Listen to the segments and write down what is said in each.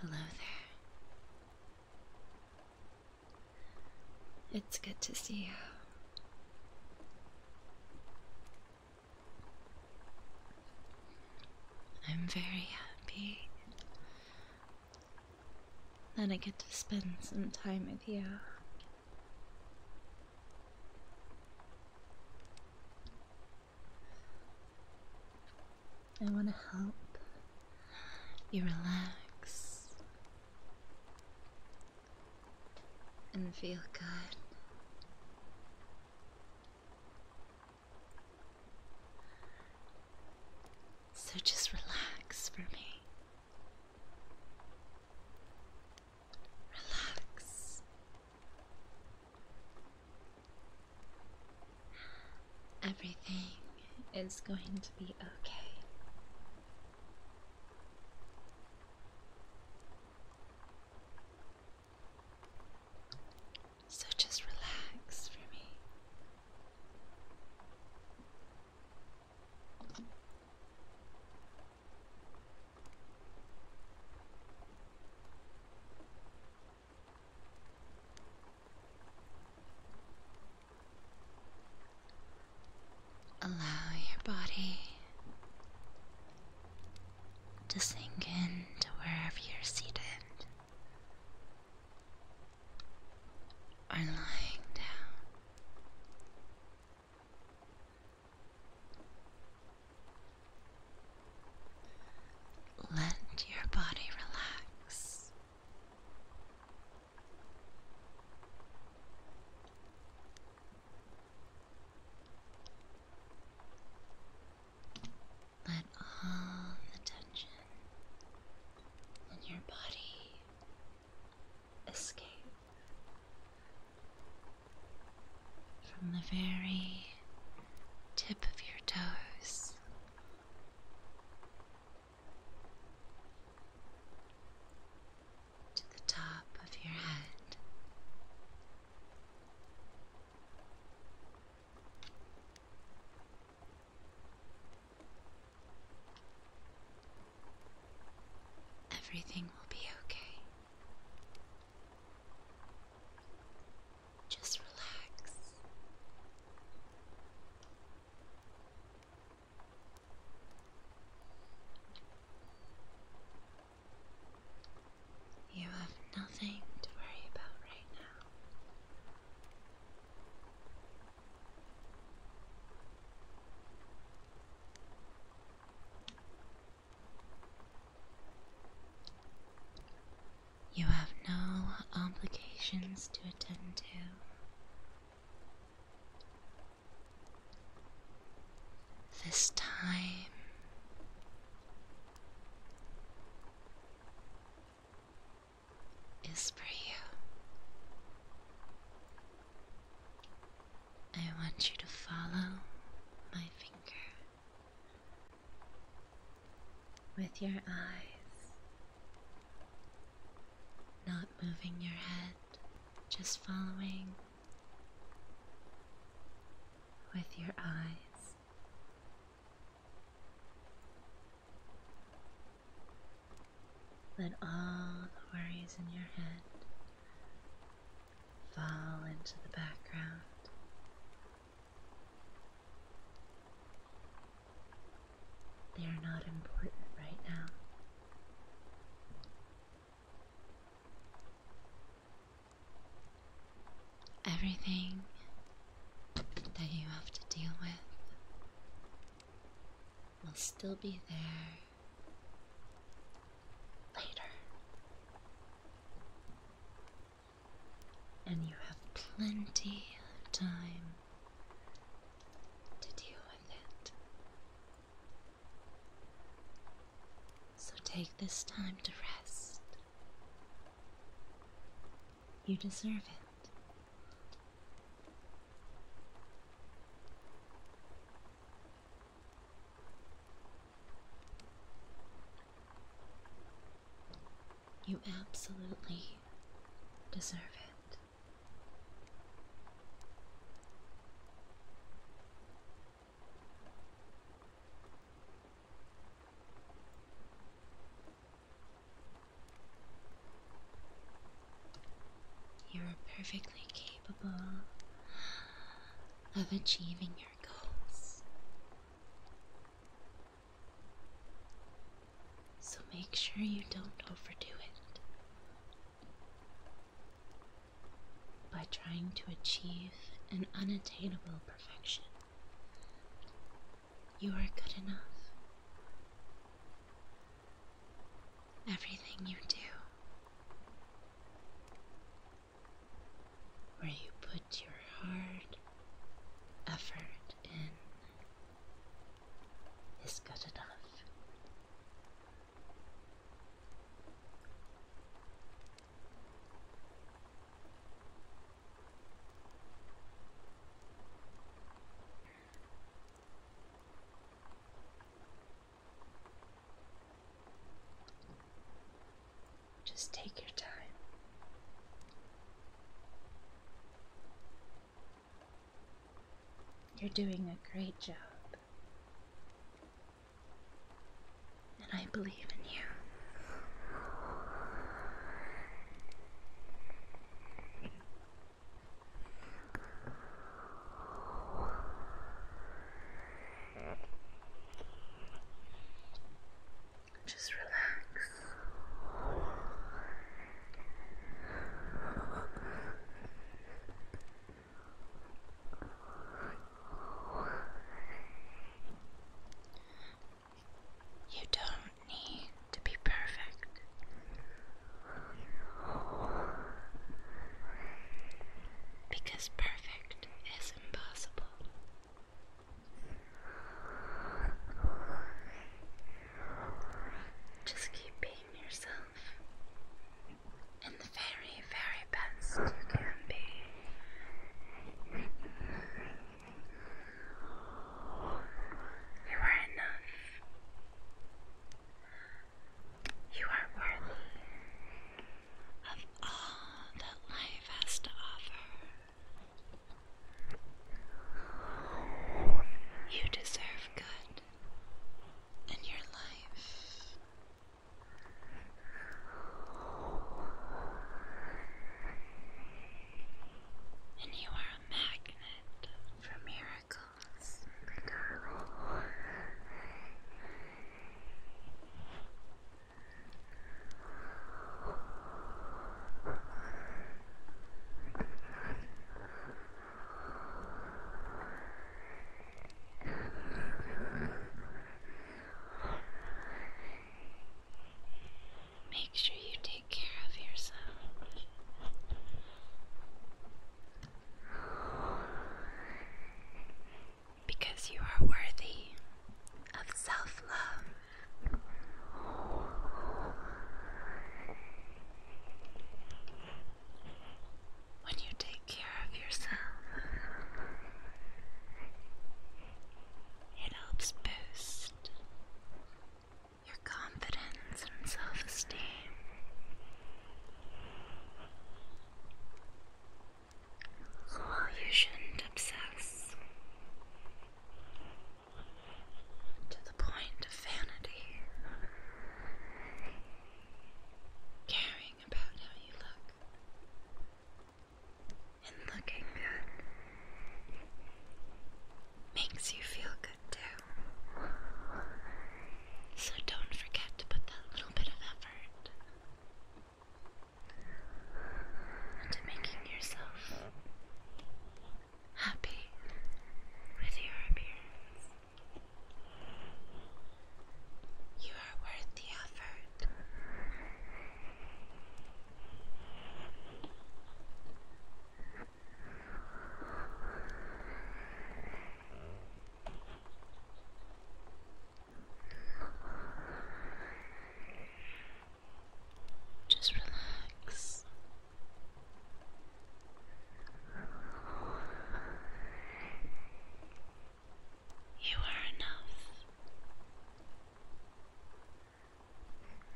Hello there. It's good to see you. I'm very happy that I get to spend some time with you. I want to help you relax and feel good. So just relax for me. Relax. Everything is going to be okay. So just relax for me. Allow your body to sink in wherever you're seated or lying down. Let your body relax. Let all the tension in your body escape from the very tip of your toes. To the top of your head, everything will be okay. Just relax. You have nothing to worry about right now. You have no obligations to attend to. This time is for you. I want you to follow my finger with your eyes, not moving your head, just following with your eyes. Let all the worries in your head fall into the background. They are not important right now. Everything that you have to deal with will still be there later. And you have plenty of time to deal with it. So take this time to rest. You deserve it. You absolutely deserve it. You are perfectly capable of achieving your so make sure you don't overdo it by trying to achieve an unattainable perfection. You are good enough. Everything you do where you put your heart, effort in is good enough. Just take your time. You're doing a great job. And I believe in you. Just relax. You don't need to be perfect. Because perfect it's impossible. Just keep being yourself in the very, very best you can be. You are enough. You are worthy of all that life has to offer. You deserve good in your life. And you are a magnet for miracles. Make sure you take care of yourself. Because you are worthy of self love. When you take care of yourself, it helps boost your confidence and self esteem you shouldn't obsess to the point of vanity, caring about how you look and looking good makes you feel good too. So don't forget to put that little bit of into making yourself happy with your appearance. You are worth the effort. Just relax. You are enough.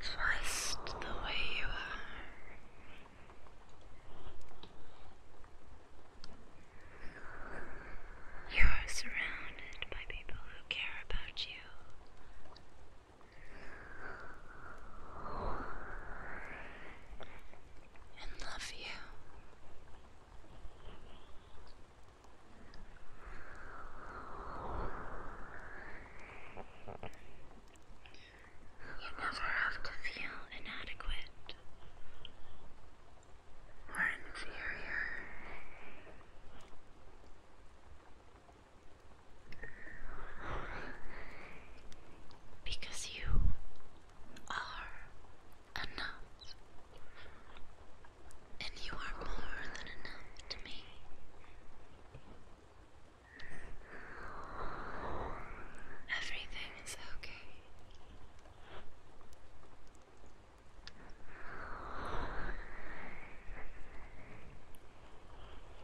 Just the way you are. You are surrounded by people who care about you. And love you. You never have to feel inadequate or inferior. Because you are enough, and you are more than enough to me. Everything is okay.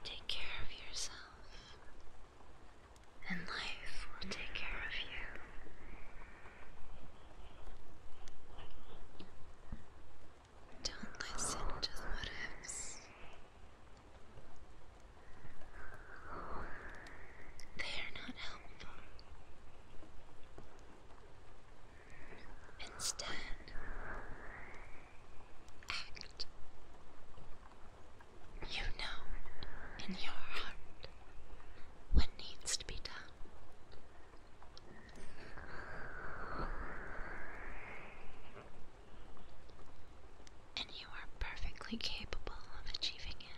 Take care of yourself, and life will take care of you. Don't listen to the what ifs. They are not helpful. Instead, act. You know in your heart what needs to be done. And you are perfectly capable of achieving it.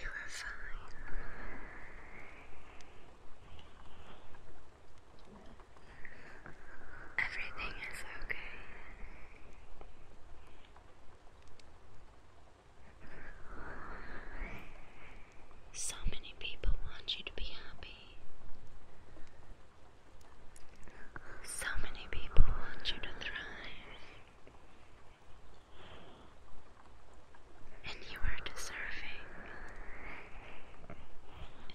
You are fine. Everything is okay. So many people want you to be happy. So many people want you to thrive. And you are deserving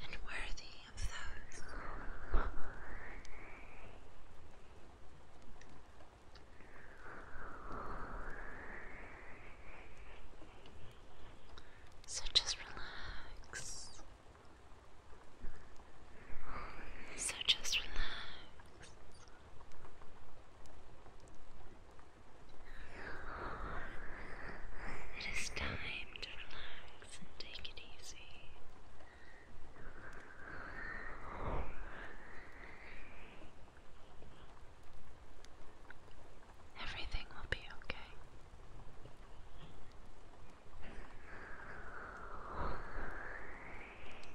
and worthy of those so just relax so just relax it is time to relax and take it easy. Everything will be okay.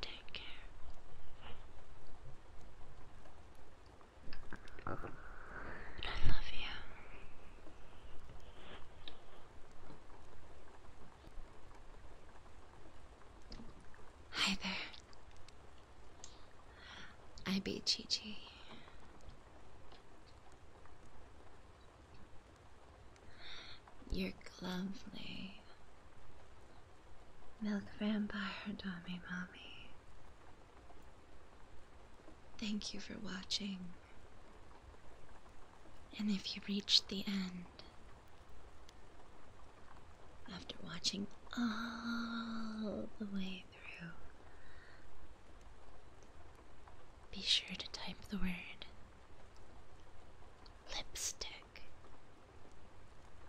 Take care. I love you. Hi there. I be Chi Chi. You're lovely. Milk Vampire Dummy Mommy. Thank you for watching. And if you reached the end, after watching all the way through, be sure to type the word lipstick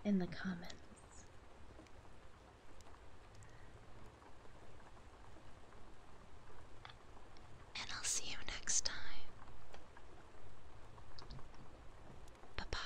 in the comments. And I'll see you next time. Bye bye.